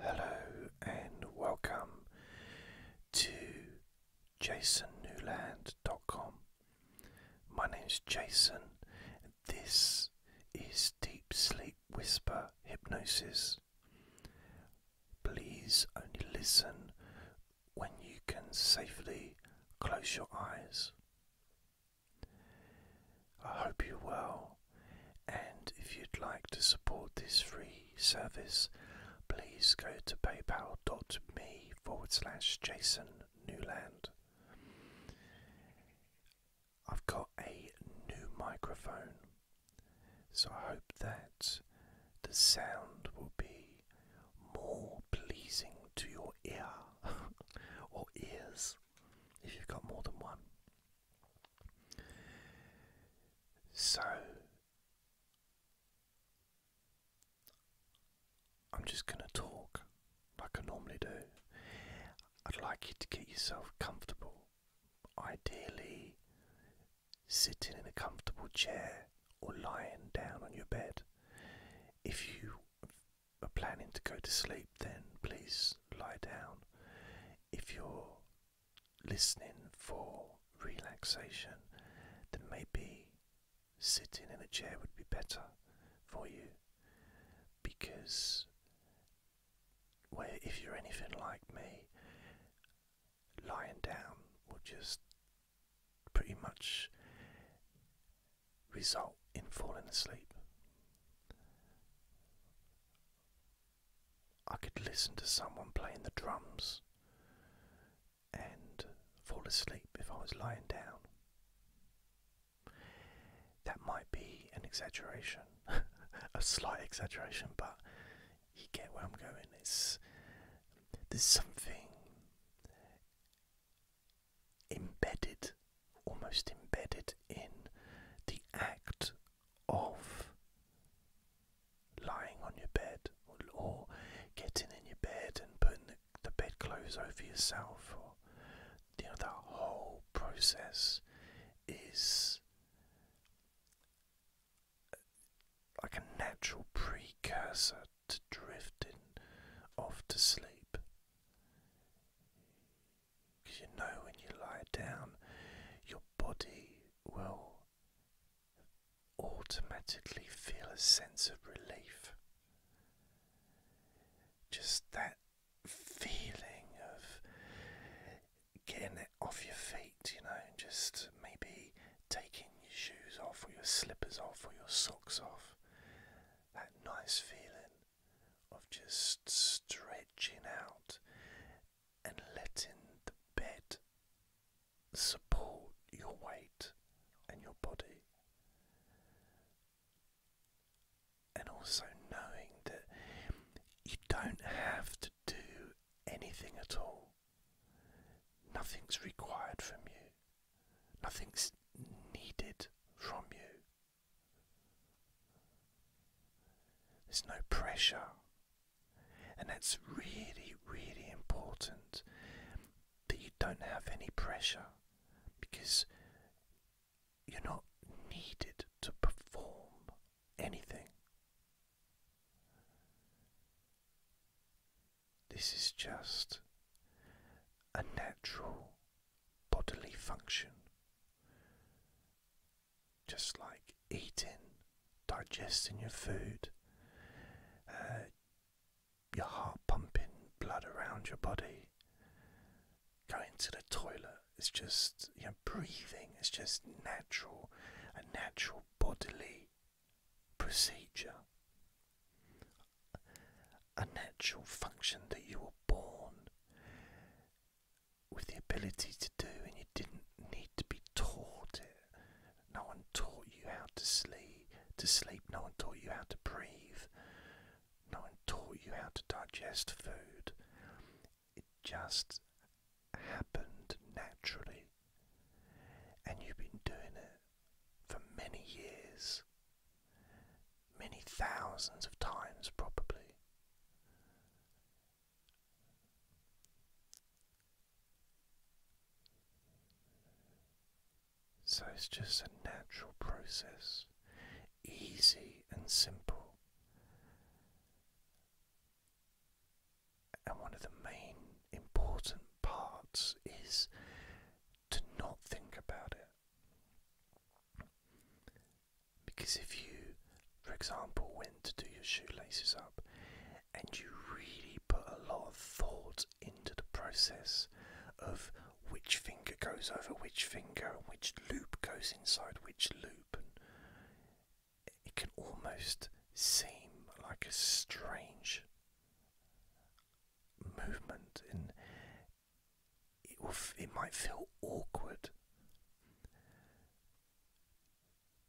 Hello and welcome to jasonnewland.com. My name is Jason, this is Deep Sleep Whisper Hypnosis. Please only listen when you can safely close your eyes. I hope you will, And if you'd like to support this free service, please go to paypal.me forward I've got a new microphone, so I hope that the sound will be more pleasing to your ear or ears if you've got more than one. So I'm just going to talk like I normally do. I'd like you to get yourself comfortable, ideally sitting in a comfortable chair or lying down on your bed. If you are planning to go to sleep, then please lie down. If you're listening for relaxation, then maybe sitting in a chair would be better for you because where if you're anything like me, lying down will just pretty much result in falling asleep. I could listen to someone playing the drums and fall asleep if I was lying down. That might be an exaggeration, a slight exaggeration, but you get where I'm going. It's there's something embedded almost embedded in the act of lying on your bed or, getting in your bed and putting the, bedclothes over yourself or you know that whole process is like a natural precursor to drifting off to sleep because you know when you lie down, your body will automatically feel a sense of relief. Just that feeling of getting it off your feet, you know, and just maybe taking your shoes off or your slippers off or your socks off. That nice feeling of just stretching out and letting the bed support your weight and your body. And also knowing that you don't have to do anything at all. Nothing's required from you. Nothing's needed from you. There's no pressure, and that's really, really important that you don't have any pressure because you're not needed to perform anything. This is just a natural bodily function just like eating, digesting your food, uh, your heart pumping blood around your body, going to the toilet. It's just you know, breathing. It's just natural, a natural bodily procedure, a natural function that you were born with the ability to do, and you didn't need to be taught it. No one taught you how to sleep. To sleep, no one taught you how to breathe. No one taught you how to digest food. It just happened naturally, and you've been doing it for many years many thousands of times, probably. So it's just a natural process, easy and simple. And one of the main important parts is to not think about it. Because if you, for example, went to do your shoelaces up and you really put a lot of thought into the process of which finger goes over which finger and which loop goes inside which loop, it can almost seem like a strange movement, in it, will it might feel awkward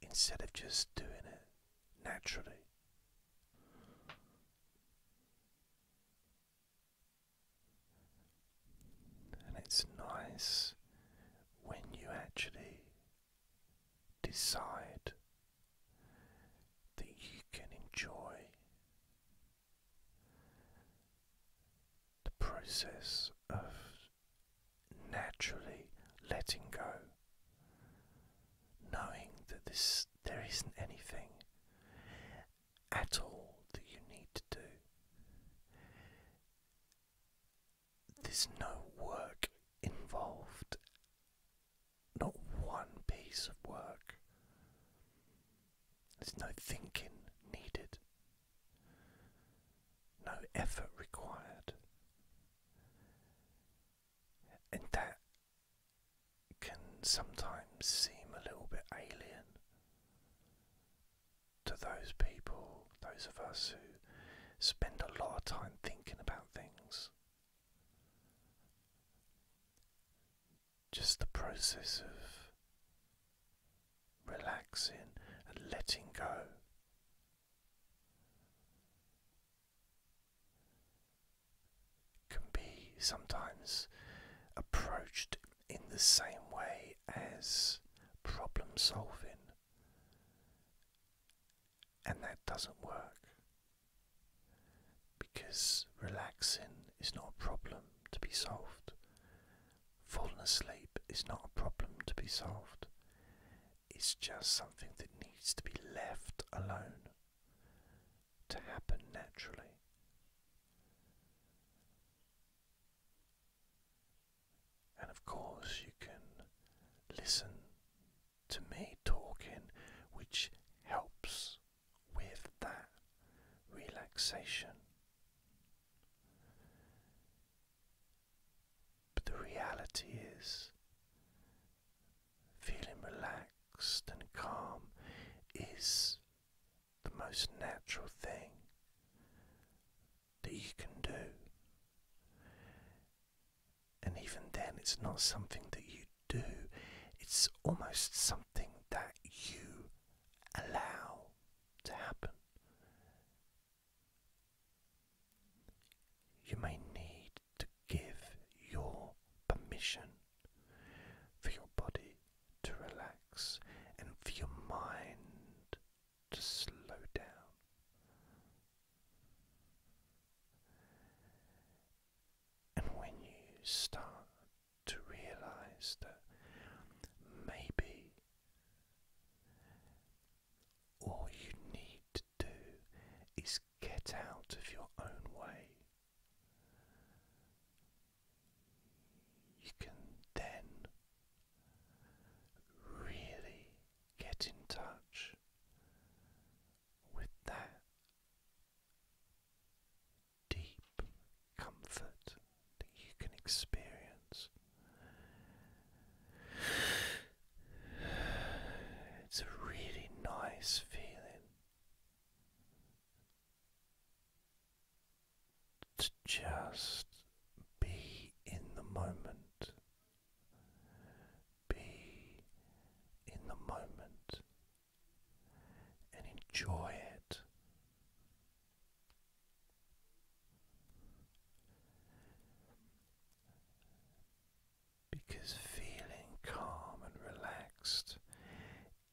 instead of just doing it naturally. And it's nice when you actually decide that you can enjoy the process of naturally letting go, knowing that this there isn't anything at all that you need to do. There's no work involved, not one piece of work. There's no thinking needed, no effort required, and that can sometimes seem a little bit alien to those people, those of us who spend a lot of time thinking about things just the process of relaxing and letting go. Can be sometimes approached in the same way as problem solving, and that doesn't work because relaxing is not a problem to be solved. Falling asleep is not a problem to be solved, it's just something that needs to be left alone to happen naturally. And of course, you can listen to me talking, which helps with that relaxation. But the reality is, feeling relaxed and calm is the most natural thing that you can do. And even then, it's not something that you do, it's almost something that you allow to happen. You may need to give your permission for your body to relax and for your mind to slow down. And when you start to realize that maybe all you need to do is get out of your own way. You can then really get in touch with that deep comfort that you can experience. It's a really nice feeling to just be in the moment, be in the moment and enjoy it. Because feeling calm and relaxed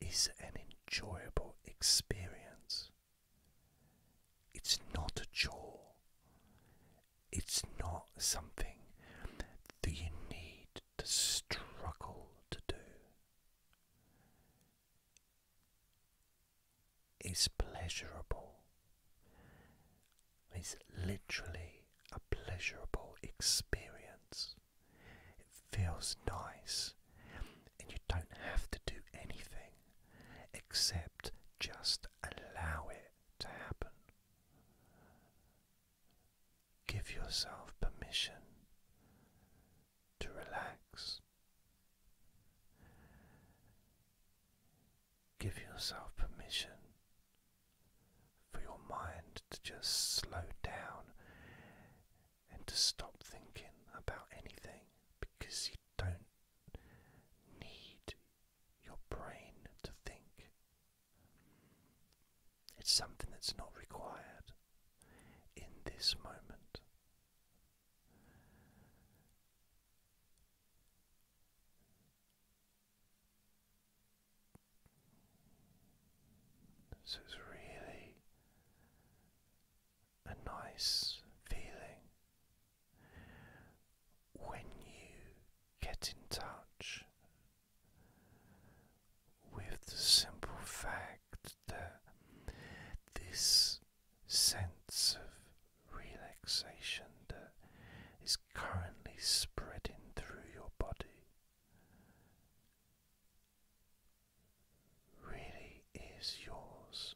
is an enjoyable experience. It's not a chore. It's not something that you need to struggle to do is pleasurable. It's literally a pleasurable experience. It feels nice, and you don't have to do anything except just allow it to happen. Give yourself permission to relax. Give yourself permission for your mind to just slow down and to stop thinking about anything because you don't need your brain to think. It's something that's not required in this moment. So it's really a nice feeling when you get in touch with the simple fact that this sense of relaxation that is currently spreading through your body really is yours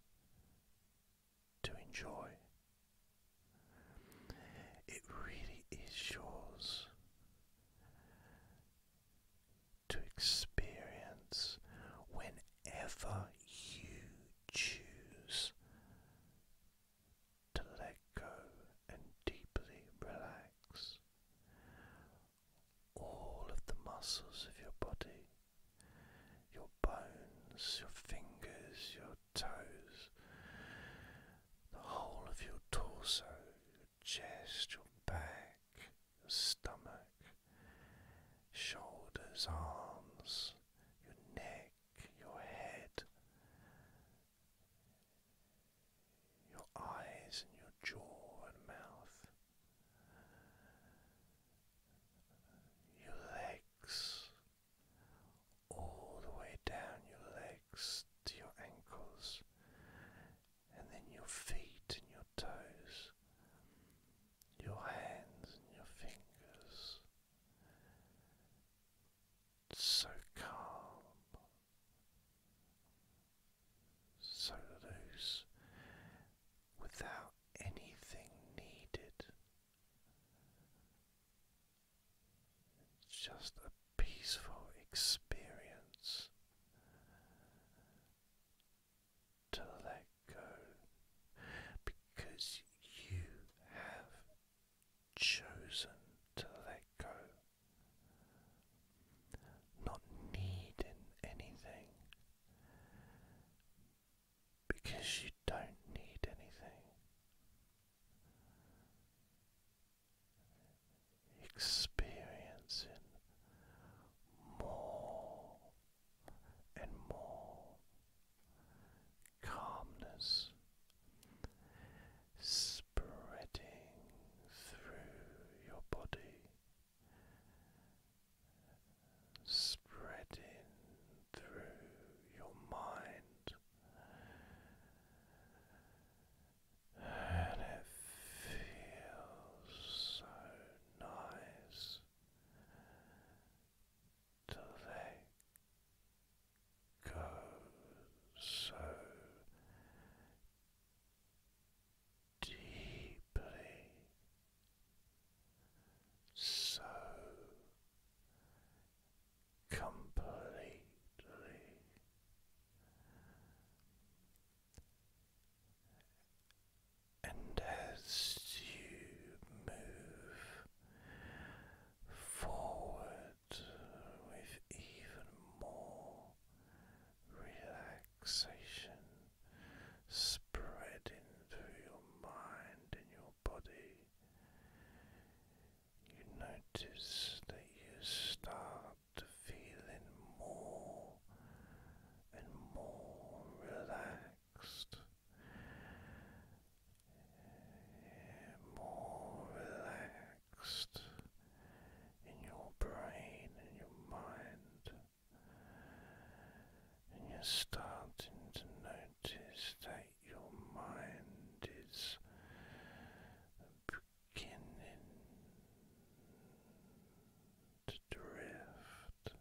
to enjoy. It really is yours to experience whenever you choose to let go and deeply relax all of the muscles of your body, your bones, your fingers, your toes, the whole of your torso, chest, your back, stomach, shoulders, arms, your neck, your head, your eyes, and your jaw and mouth, your legs, all the way down your legs to your ankles and then your feet and your toes, your hands and your fingers. so calm, so loose, without anything needed. It's just a peaceful experience to let go because you have chosen to let go, not needing anything because you don't need anything experiencing more and more calmness spreading through your body, spreading through your mind and it feels so nice to let go so deeply, so completely. And as you move forward with even more relaxation spreading through your mind and your body, you notice that you start to feeling more and more relaxed, more relaxed in your brain and your mind, and you're starting to notice that your mind is beginning drift,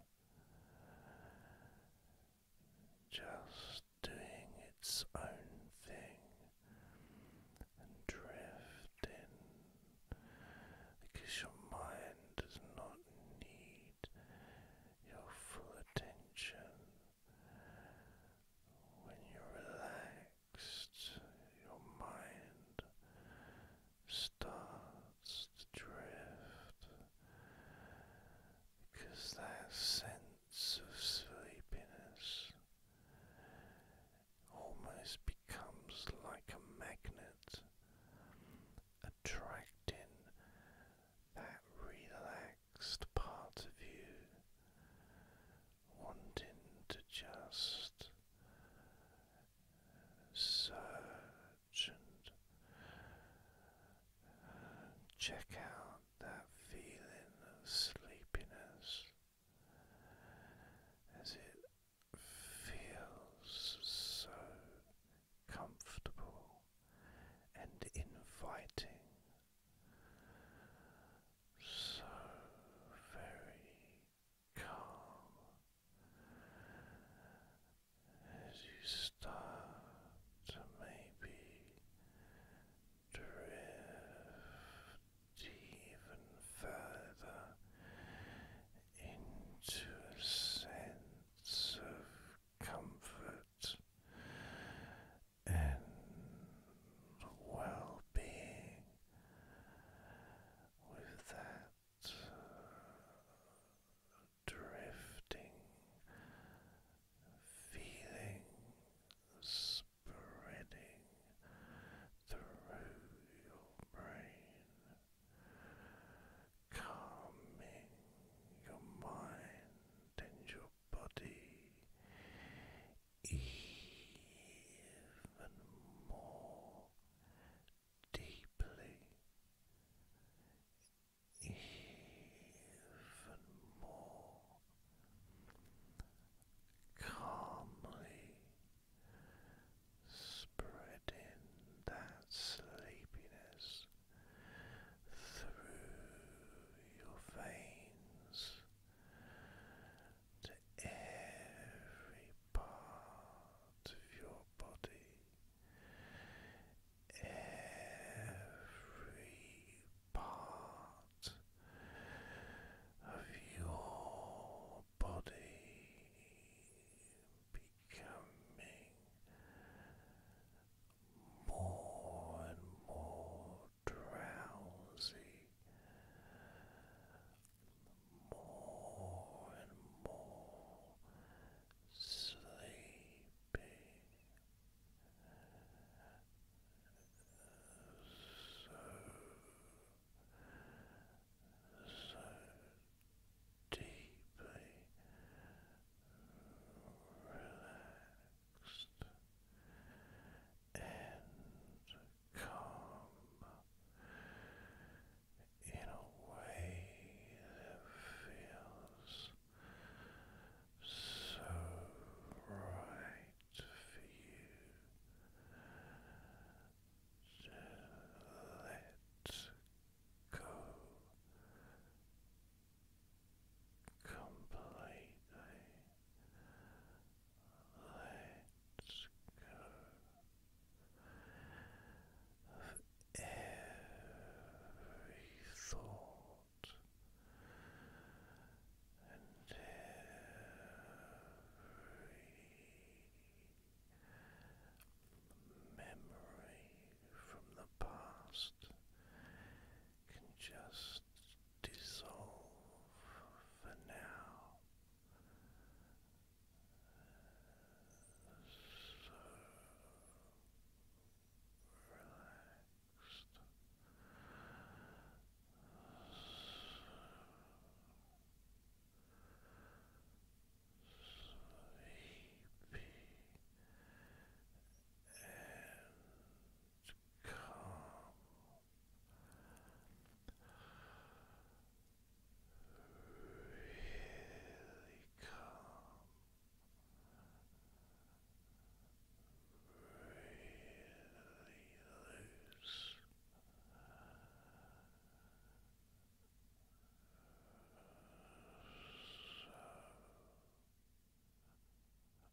just doing its own thing drifting because your mind does not need your full attention. When you relax, your mind starts to drift because that sense of sleepiness almost becomes like a magnet attracting that relaxed part of you wanting to just search and check out that feeling of sleepiness as it feels so comfortable and inviting so very calm as you start to maybe drift even further into a sense of comfort and well being with that drifting feeling spreading through your brain. Calming your mind and your body even more deeply, even more calmly spreading that sleepiness through your veins to every part of your body, every part of your body becoming more and more drowsy more and more sleepy so so deeply relaxed and calm in a way that feels so right for you. Just let go completely let go of every thought and every memory from the past can just dissolve for now. So sleepy and come. Really come. Really loose. So